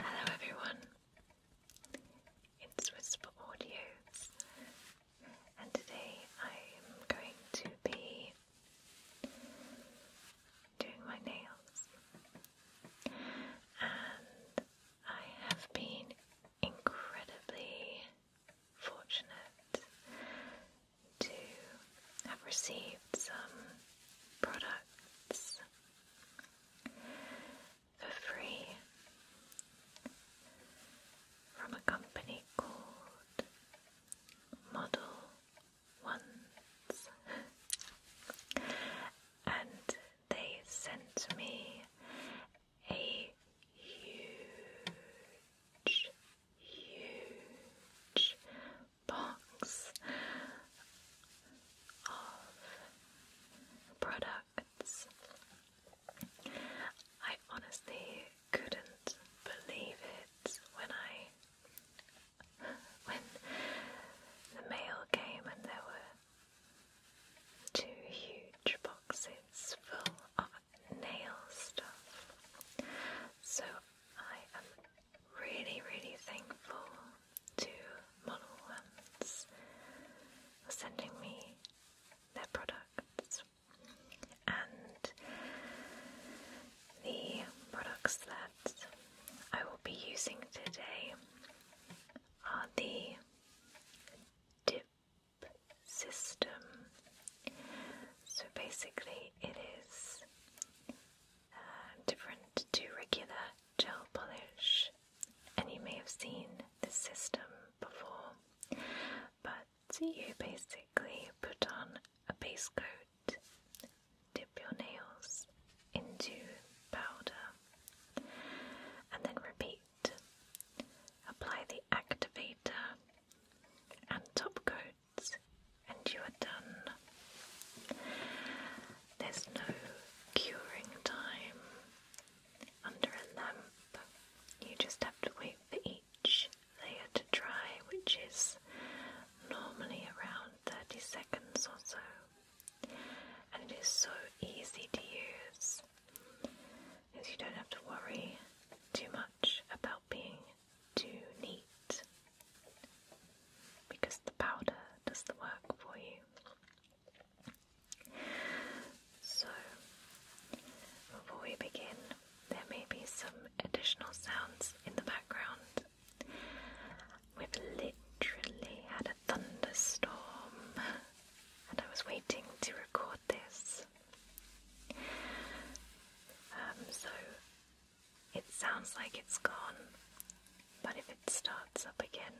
Hello everyone, it's Whisper Audios, and today I'm going to be doing my nails, and I have been incredibly fortunate to have received some products for free from a company called Model Ones, and they sent me a huge, huge box of products. I honestly couldn't believe it when I when the mail came and there were two huge boxes full of nail stuff. So I am really, really thankful to Model Ones for sending me their products and the products that I will be using today are the dip system. So basically, it is different to regular gel polish, and you may have seen this system before, but you basically put on a base coat, dip your nails into powder, and then repeat. Apply the activator and top coat and you are done. There's no curing time under a lamp. You just have to wait for each layer to dry, which is normally around 30 seconds or so. And it is so easy to use as you don't have to worry too much about being too neat because the powder does the work for you. So, before we begin, there may be some additional sounds in the background. We've literally had a thunderstorm, and I was waiting to record this. Um, so, it sounds like it's gone, but if it starts up again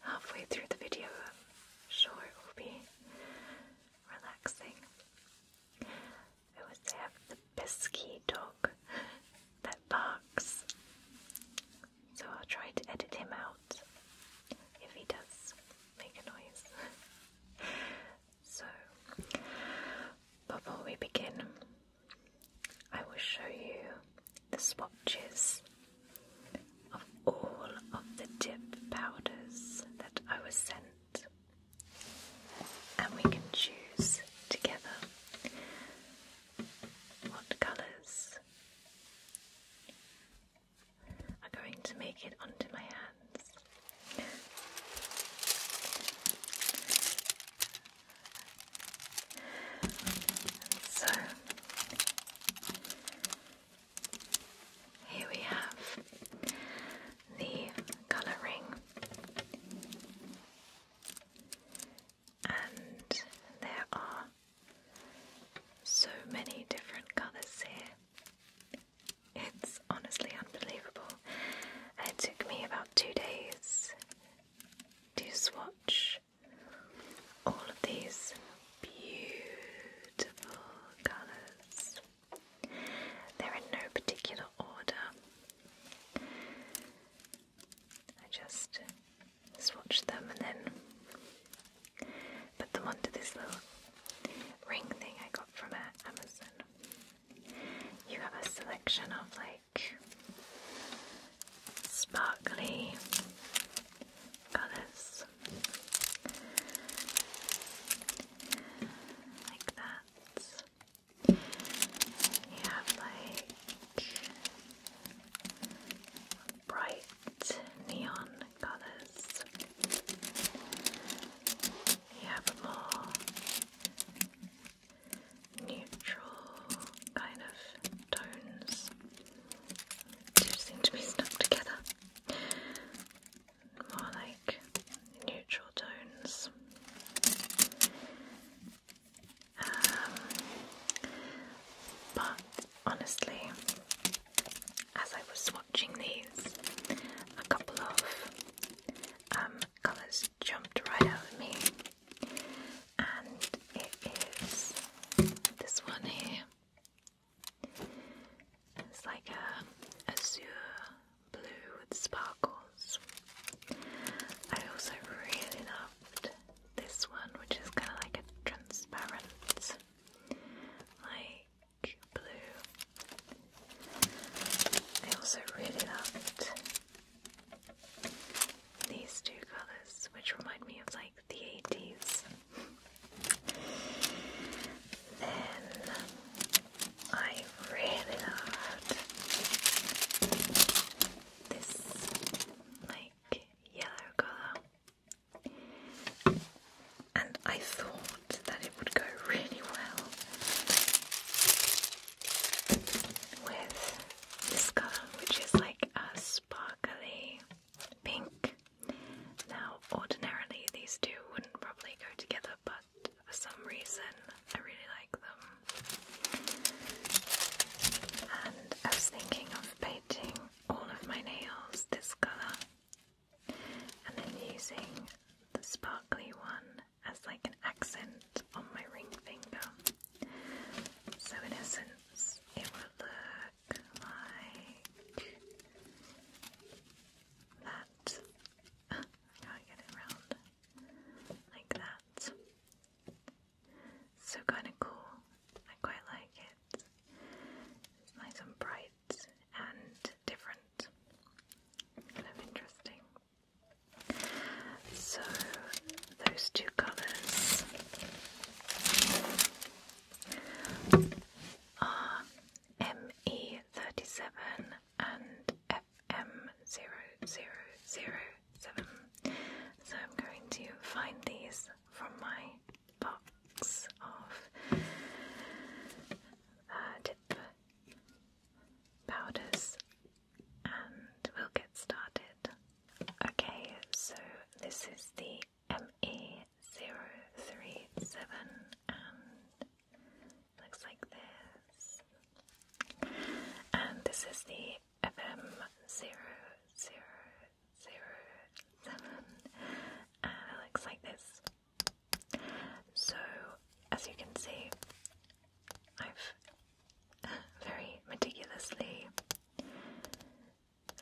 halfway through the video, I'm sure it will be relaxing. I always have the pesky dog that barks, so I'll try to edit him out if he does make a noise. so, before we begin, I will show you the swatches of all of the dip powders that I was sent, and we can choose together what colours are going to make it onto my hands so here we have the colour and there are so many different colours here. It's honestly unbelievable. It took me about two days do swatch all of these beautiful colours. They're in no particular order. I just swatch them and then put them onto this little ring thing I got from Amazon. You have a selection of like sparkly colours like that. You have like bright neon colours. You have more neutral kind of tones. seem to be stuck together. More like neutral tones. Um, but honestly, as I was watching these, a couple of um, colours jumped right out of me, and it is this one here. It's like a azure blue with sparkles. I also really loved this one, which is kind of like a transparent, like blue. I also really loved these two colors, which remind me of like the 80s. then I really loved this like yellow color, and I thought that it would go really well with this color, which is like a sparkly pink. Now, ordinarily, these two wouldn't probably go together, but for some reason, I really like them. And I was thinking of painting all of my nails this color and then using the sparkly one as like an accent on my ring finger. So in essence, it will look like that. I can't get it round. Like that. So kind of cool. I quite like it. It's nice and bright and different. Kind of interesting. So those two colours are ME37 and FM0007. So I'm going to find these from my box of uh, powders and we'll get started. Okay, so this is the ME037 and looks like this. And this is the FM0007 and it looks like this. So as you can see, I've very meticulously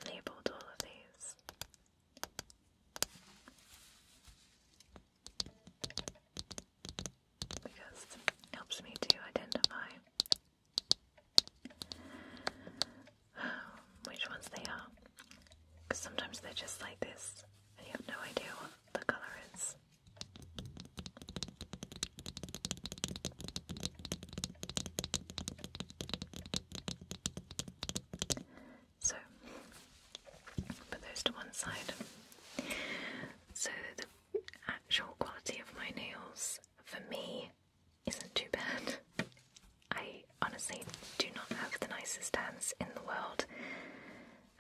labeled all of these. Because it helps me to identify um, which ones they are. Because sometimes they're just like this and you have no idea what the colour is. So, put those to one side. So, the actual quality of my nails for me isn't too bad. I honestly do not have the nicest hands in the world,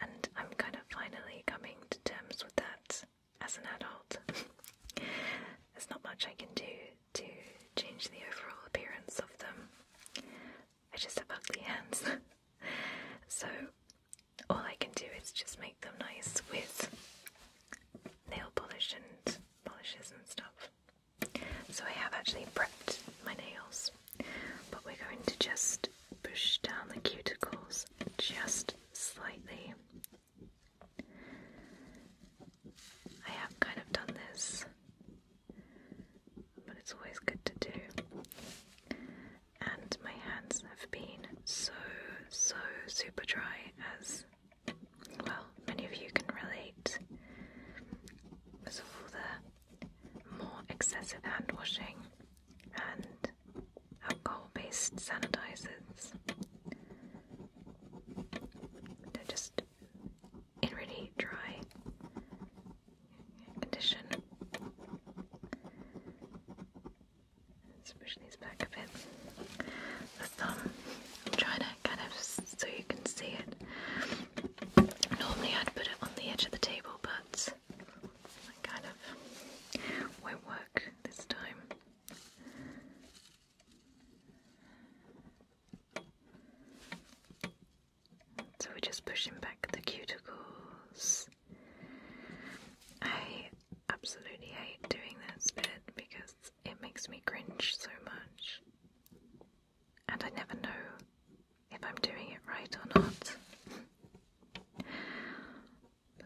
and I'm kind of finally coming to terms with that as an adult. There's not much I can do to change the overall appearance of them. I just have ugly hands. so all I can do is just make them nice with nail polish and polishes and stuff. So I have actually prepped my nails, but we're going to just push down the cuticles just slightly. I have kind of done this, but it's always good to do. And my hands have been so, so super dry, as well, many of you can relate because of all the more excessive hand washing and alcohol-based sanitizers. they just in really dry condition. Let's push these back a bit. The thumb. I'm trying to kind of so you can see it. Normally I'd put it on the edge of the table, but that kind of won't work this time. So we're just pushing back the cuticles. I absolutely hate doing this bit because it makes me cringe so much. And I never know if I'm doing it right or not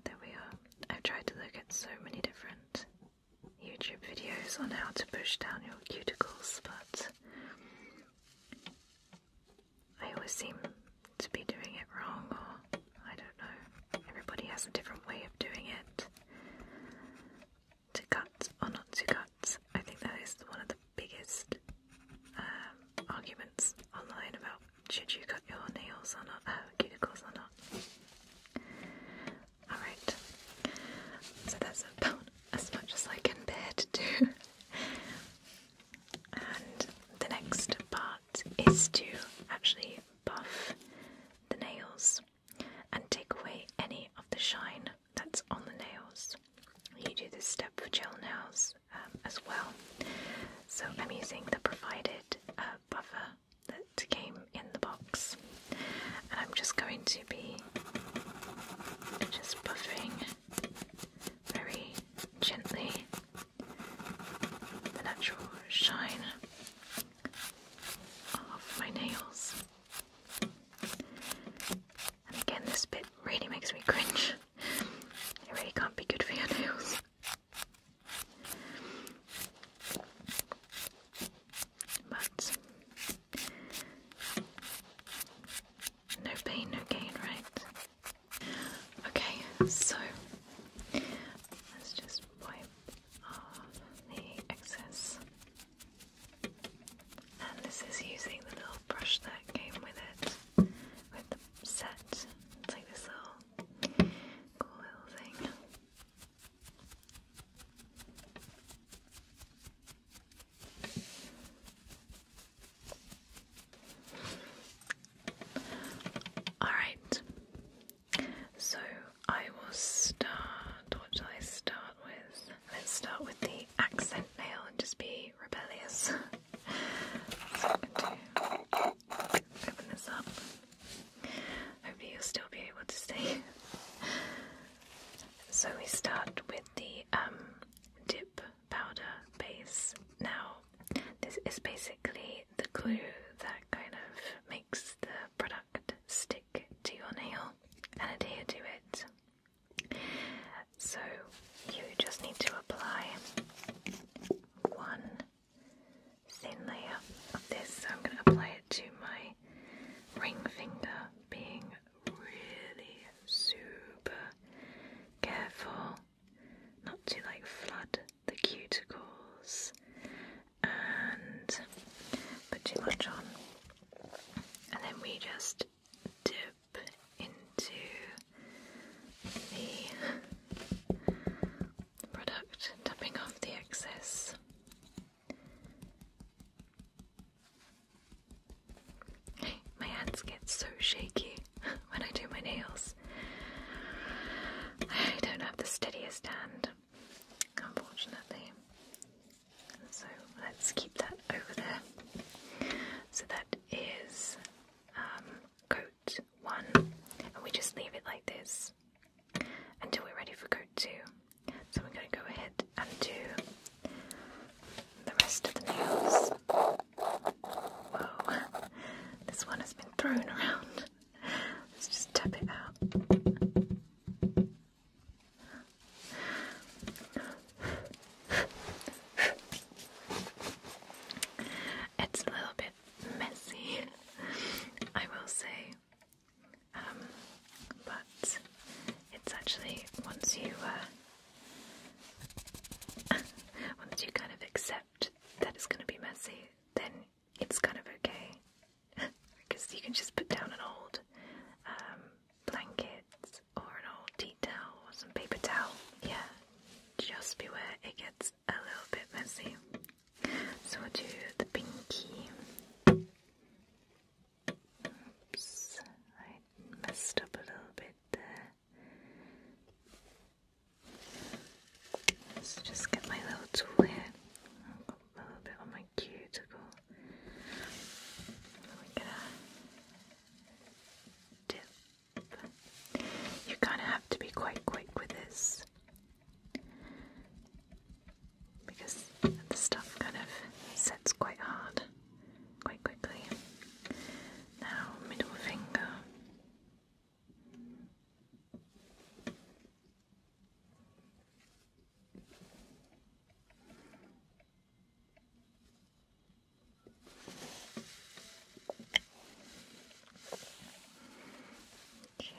there we are. I've tried to look at so many different YouTube videos on how to push down your cuticles, but I always seem to be doing it wrong, or I don't know. Everybody has a different way of doing it. To cut or not to cut, I think that is one of the biggest um, arguments online about should you cut your nails or not, uh, cuticles or not. Alright, so that's about as much as I can bear to do. and the next part is to actually buff the nails and take away any of the shine that's on the nails. You do this step for gel nails. Um, as well. So I'm using the provided uh, buffer that came in the box, and I'm just going to be just buffering very gently the natural shine of my nails. And again, this bit really makes me cringe it really can't be good for your nails. But no pain, no gain, right? Okay, so let's just wipe off the excess. And this is using the little brush that came with it, with the set. It's like this little cool thing. Alright, so I will start. What shall I start with? Let's start with the accent nail and just be rebellious. open this up. Hopefully, you'll still be able to see. so, we start with the um, dip powder base. Now, this is basically the glue that kind of makes the product stick to your nail and adhere to it. So, you just need to apply one thin layer of this. So I'm going to apply it to my ring finger, being really super careful not to like flood the cuticles and put too much on. And then we just dip in to the product, tapping off the excess. My hands get so shaky when I do my nails. I don't have the steadiest hand, unfortunately. So let's keep that over there. So that is um, coat one, and we just leave it like this until we're ready for coat two. So we're going to go ahead and do the rest of the nails. Whoa, this one has been thrown around. Let's just tap it out. It's a little bit bit messy, I will say. Um, but it's actually once you uh, once you kind of accept that it's going to be messy, then it's kind of okay because you can just put down an old um, blanket or an old tea towel or some paper towel. Yeah, just beware it gets a little bit messy. So we'll do the pinky. Oops, I messed up a little bit there. Let's just get my little tool here. a little bit on my cuticle. We're gonna dip you kind of have to be quite quick with this because the stuff kind of sets quite hard, quite quickly. Now, middle finger. Okay.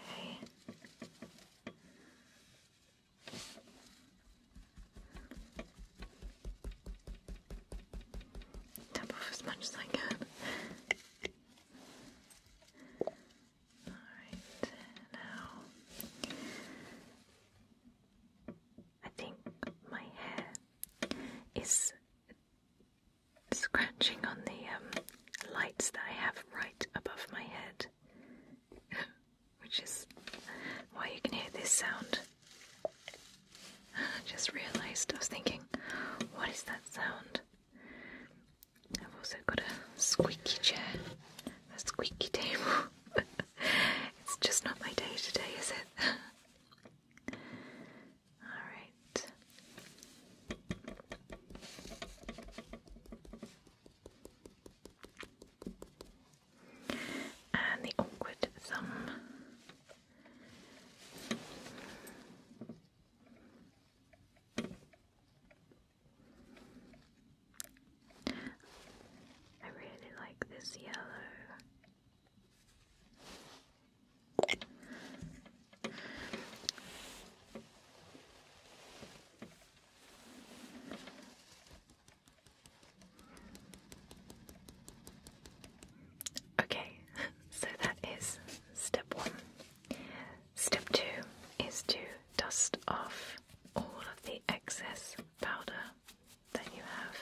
Tap off as much as I can. Alright, now I think my hair is scratching on the um, lights that I have right above my head, which is why you can hear this sound. I just realised I was thinking, what is that sound? I've also got a squeaky chair, a squeaky table. it's just not my day today, is it? All right. And the awkward thumb. I really like this yellow. Okay, so that is step one. Step two is to dust off all of the excess powder that you have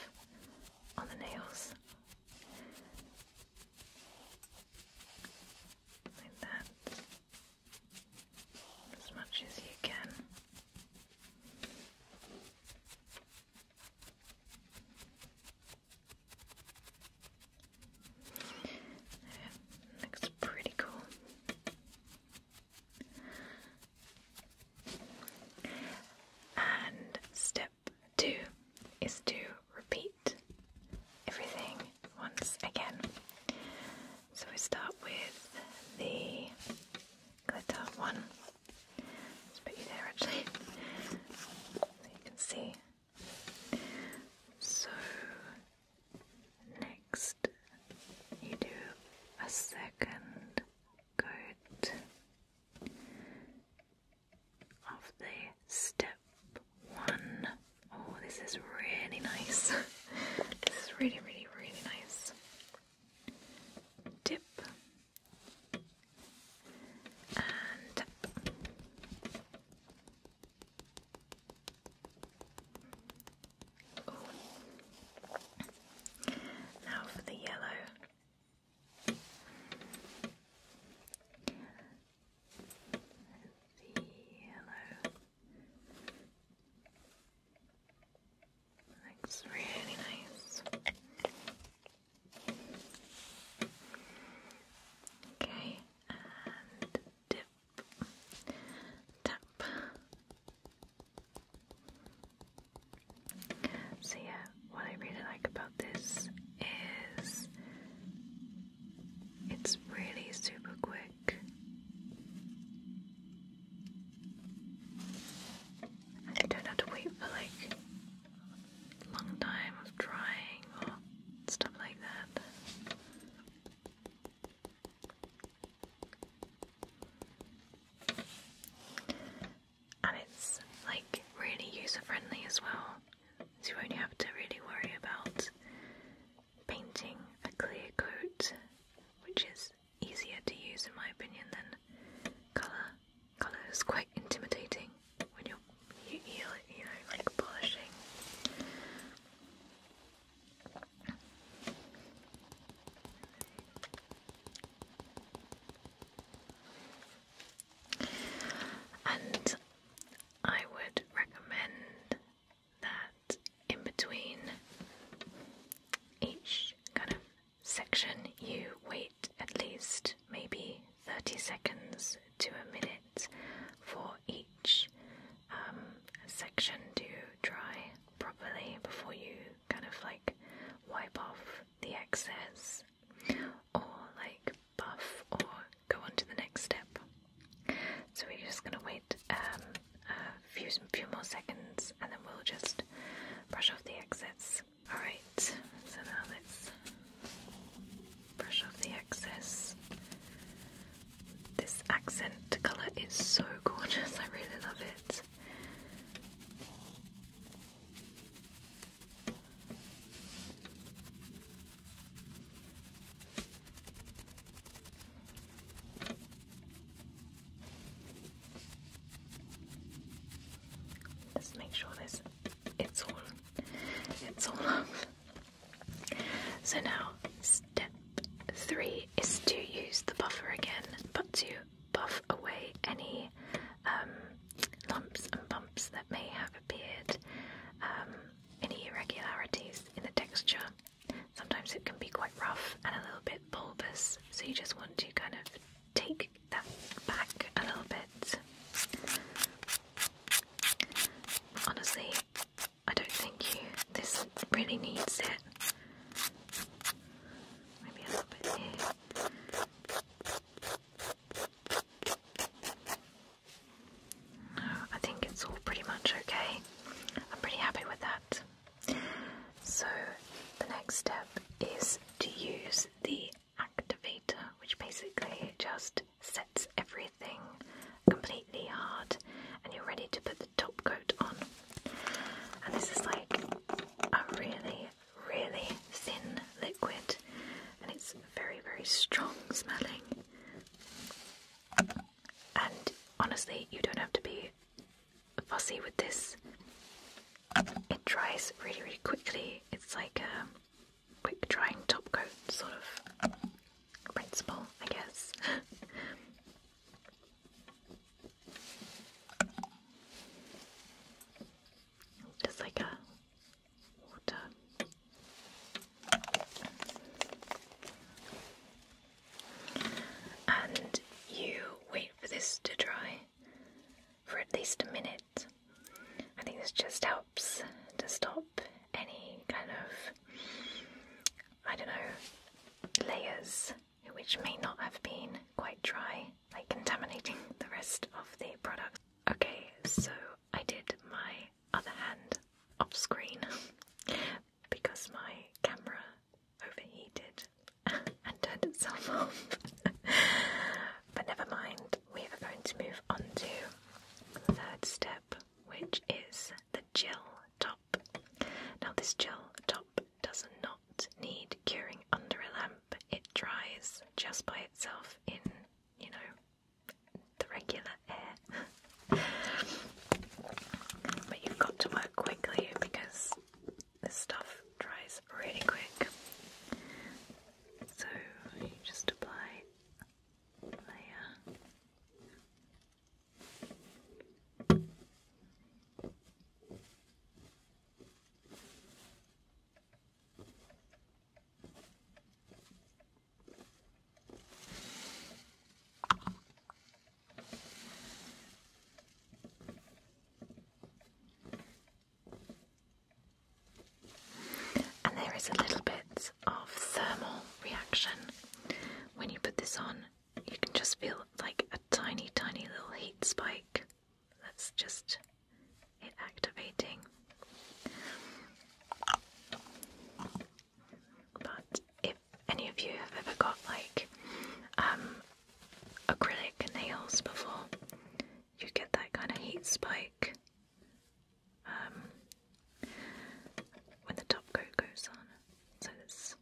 on the nails. Like that. As much as you can. Yeah, looks pretty cool. And step do is to repeat everything once again. So we start with the glitter one. Let's put you there actually, so you can see. So next you do a second coat of the step one. Oh, this is really nice. this is really, really, really nice. Dip and Now for the yellow the yellow looks really nice. Okay, and dip, tap. So yeah, what I really like about this is it's really super quick. And don't have to wait for like long time of drying or stuff like that and it's like really user friendly as well. So you won't have to really worry about painting a clear coat, which is easier to use in my opinion than colour. Colour is quite intimidating when you're you, you know like polishing. And I would recommend that in between each kind of section, you wait at least maybe 30 seconds to a minute for each um, section to dry properly before you kind of like wipe off the excess or like buff or go on to the next step. So we're just going to wait um, a few, few more seconds and then we'll just brush off the excess. Alright, so now let's brush off the excess. This accent colour is so gorgeous, I really love it let make sure this it's all it's all up. So now step three is to use the buffer again, but to buff away any um, lumps and bumps that may have appeared, any um, irregularities in the texture. Sometimes it can be quite rough and a little bit bulbous, so you just want to kind of take that back a little bit. Honestly, I don't think you this really needs it. Maybe a little bit here. I think it's all pretty much okay. I'm pretty happy with that. So, the next step is to use the activator, which basically just sets everything completely hard and you're ready to put the top coat on. And this is like a really really thin liquid and it's very, very strong smelling. And honestly, you don't have to be fussy with this. It dries really, really quickly. It's like a quick drying top coat sort of principle, I guess. Just like a water. And you wait for this to dry for at least a minute. I think this just helps to stop any kind of, I don't know, layers which may not have been quite dry, like contaminating the rest of the product. Okay, so I did my other hand off screen because my camera overheated and turned itself off. but never mind, we are going to move on to the third step, which is the gel top. Now, this gel top does not need curing under a lamp, it dries just by itself in you know, the regular air. but you've got to work quickly because this stuff dries really quick. So you just apply layer. And there is a little bit of thermal reaction when you put this on. You can just feel like a tiny, tiny little heat spike that's just it activating. But if any of you have ever got like um, acrylic nails before, you get that kind of heat spike um, when the top coat goes on. So it's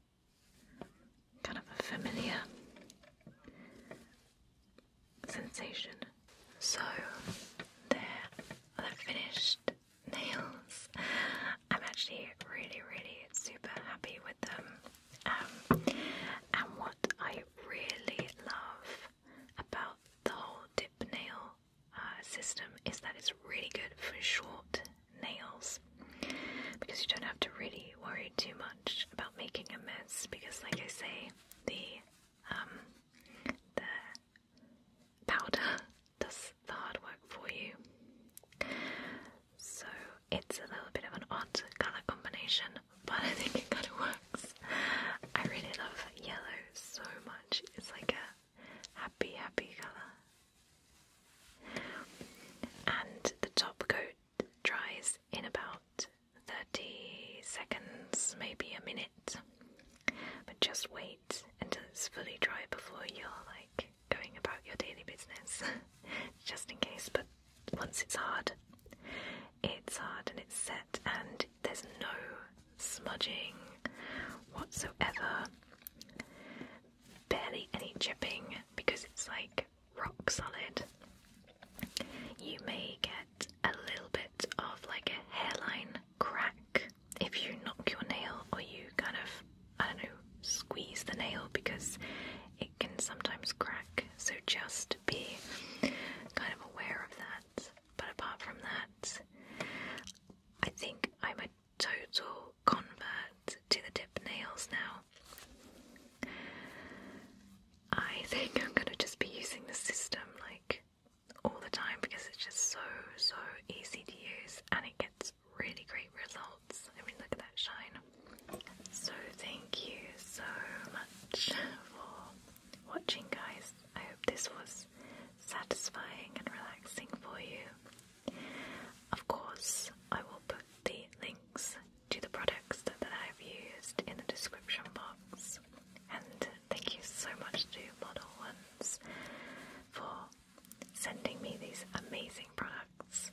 kind of familiar sensation. So, there are the finished nails. I'm actually really, really super happy with them. Um, and what I really love about the whole dip nail uh, system is that it's really good for short nails because you don't have to really worry too much about making a mess because, like I say, the um, the powder does the hard work for you. So it's a little bit of an odd colour combination, but I think it kind of works. I really love yellow so much, it's like a happy, happy colour. And the top coat dries in about 30 seconds, maybe a minute. But just wait until it's fully dry before you're like going about your daily business, just in case. But once it's hard, it's hard and it's set, and there's no smudging whatsoever, barely any chipping because it's like rock solid. You may get a little bit of like a hairline crack if you knock your nail or you kind of, I don't know, squeeze the nail because it can sometimes crack. So just be kind of aware of that. But apart from that, I think I'm a total convert to the dip nails now. I think I'm gonna just be using the system like all the time because it's just so, so easy to use and it gets really great results. I mean, look at that shine. So, thank you so much for watching, guys. I hope this was satisfying and relaxing for you. Of course, I will put the links to the products that, I've used in the description box and Thank you so much to Model Ones for sending me these amazing products.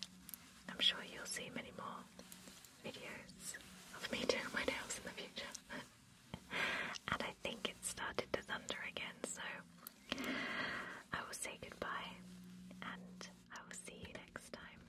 I'm sure you'll see many more videos of me doing my nails in the future. and I think it started to thunder again, so I will say goodbye and I will see you next time.